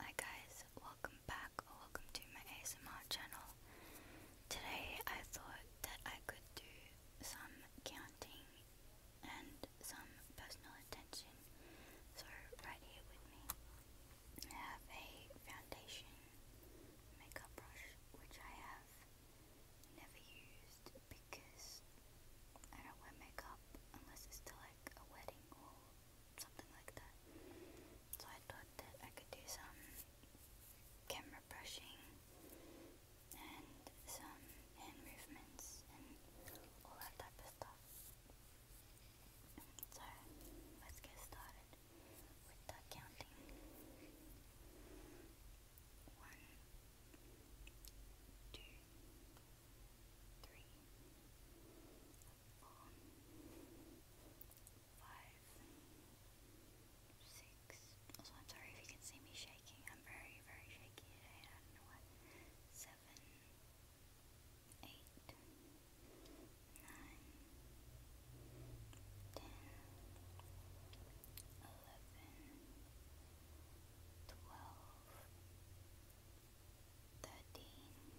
Hi guys, welcome back welcome to my ASMR channel. Today I thought that I could do some counting and some personal attention. So right here with me I have a foundation makeup brush which I have never used because I don't wear makeup unless it's to like a wedding or something like that. So I thought that I could do some camera brushing and some hand movements and all that type of stuff. So let's get started with the counting. One, two, three, four, five, six. Also, I'm sorry if you can see me shaking. I'm very, very shaky today. I don't know what. Seven, eight, nine, ten, eleven, twelve thirteen,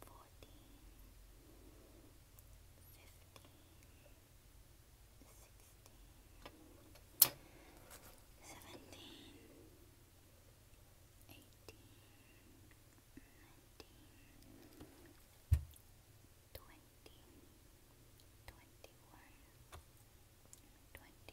fourteen, fifteen, sixteen, seventeen, eighteen, nineteen, twenty, twenty one, twenty two, twenty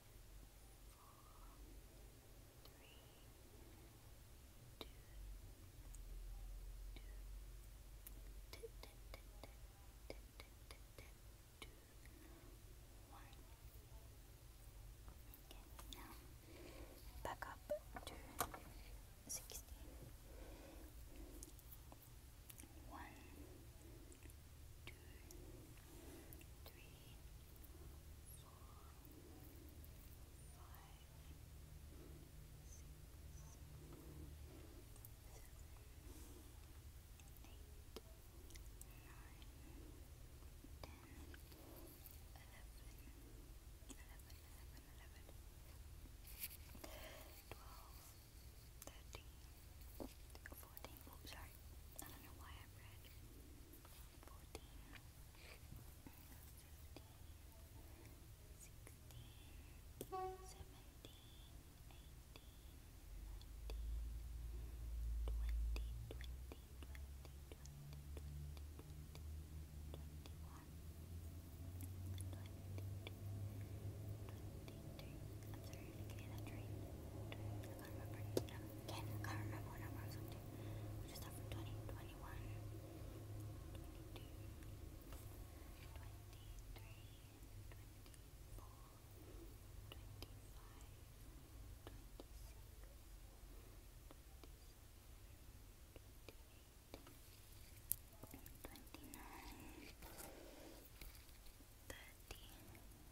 Okay, now back up to sixteen. One, two, three, four, five, six, seven, Eight, nine, ten, eleven, eleven, eleven, eleven, twelve, thirteen, fourteen. Oh, I don't know why I read 14, 15, Maybe the I can't remember. No, I can't remember what number I was up to. just up from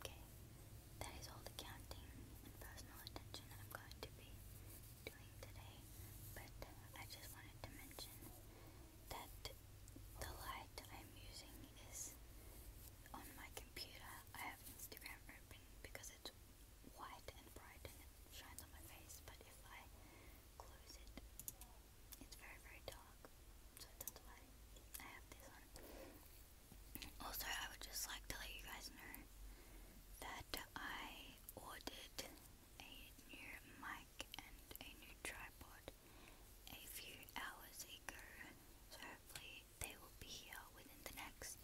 Okay, that is all the counting and personal attention that I'm going to be doing today. But I just wanted to mention that the light I'm using is on my computer. I have Instagram open because it's white and bright and it shines on my face. But if I close it, it's very very dark, so that's why I have this on. Also, I would just like to let you guys know that I ordered a new mic and a new tripod a few hours ago, so hopefully they will be here within the next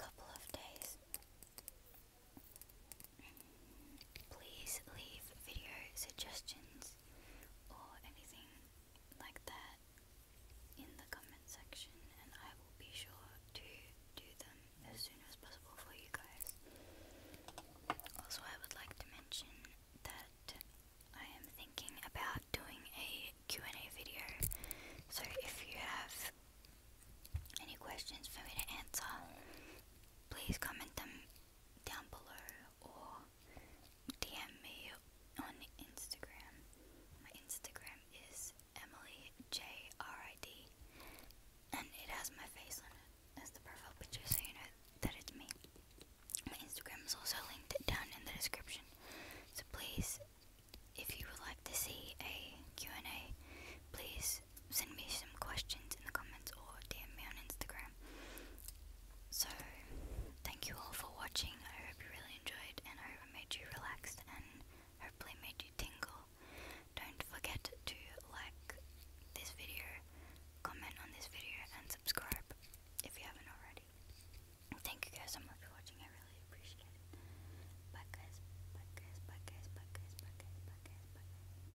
couple of days. Please leave video suggestions or anything like that in the comment section and I will be sure to do them as soon as possible for you guys. Also I would like to mention that I am thinking about doing a and a video so if you have any questions for me to answer please comment them down below or DM me on Instagram. My Instagram is Emily J R I D, and it has my face on it as the profile picture, so you know that it's me. My Instagram is also linked down in the description, so please, if you would like to see a Q and A, please send me some questions in the comments or DM me on Instagram. So, thank you all for watching. I hope you really enjoyed and I hope it made you relaxed and hopefully made you tingle. Don't forget to like this video, comment on this video, and subscribe if you haven't already. Thank you guys so much for watching. I really appreciate it. Bye guys. Bye guys. Bye guys. Bye guys. Bye guys. Bye guys. Bye guys.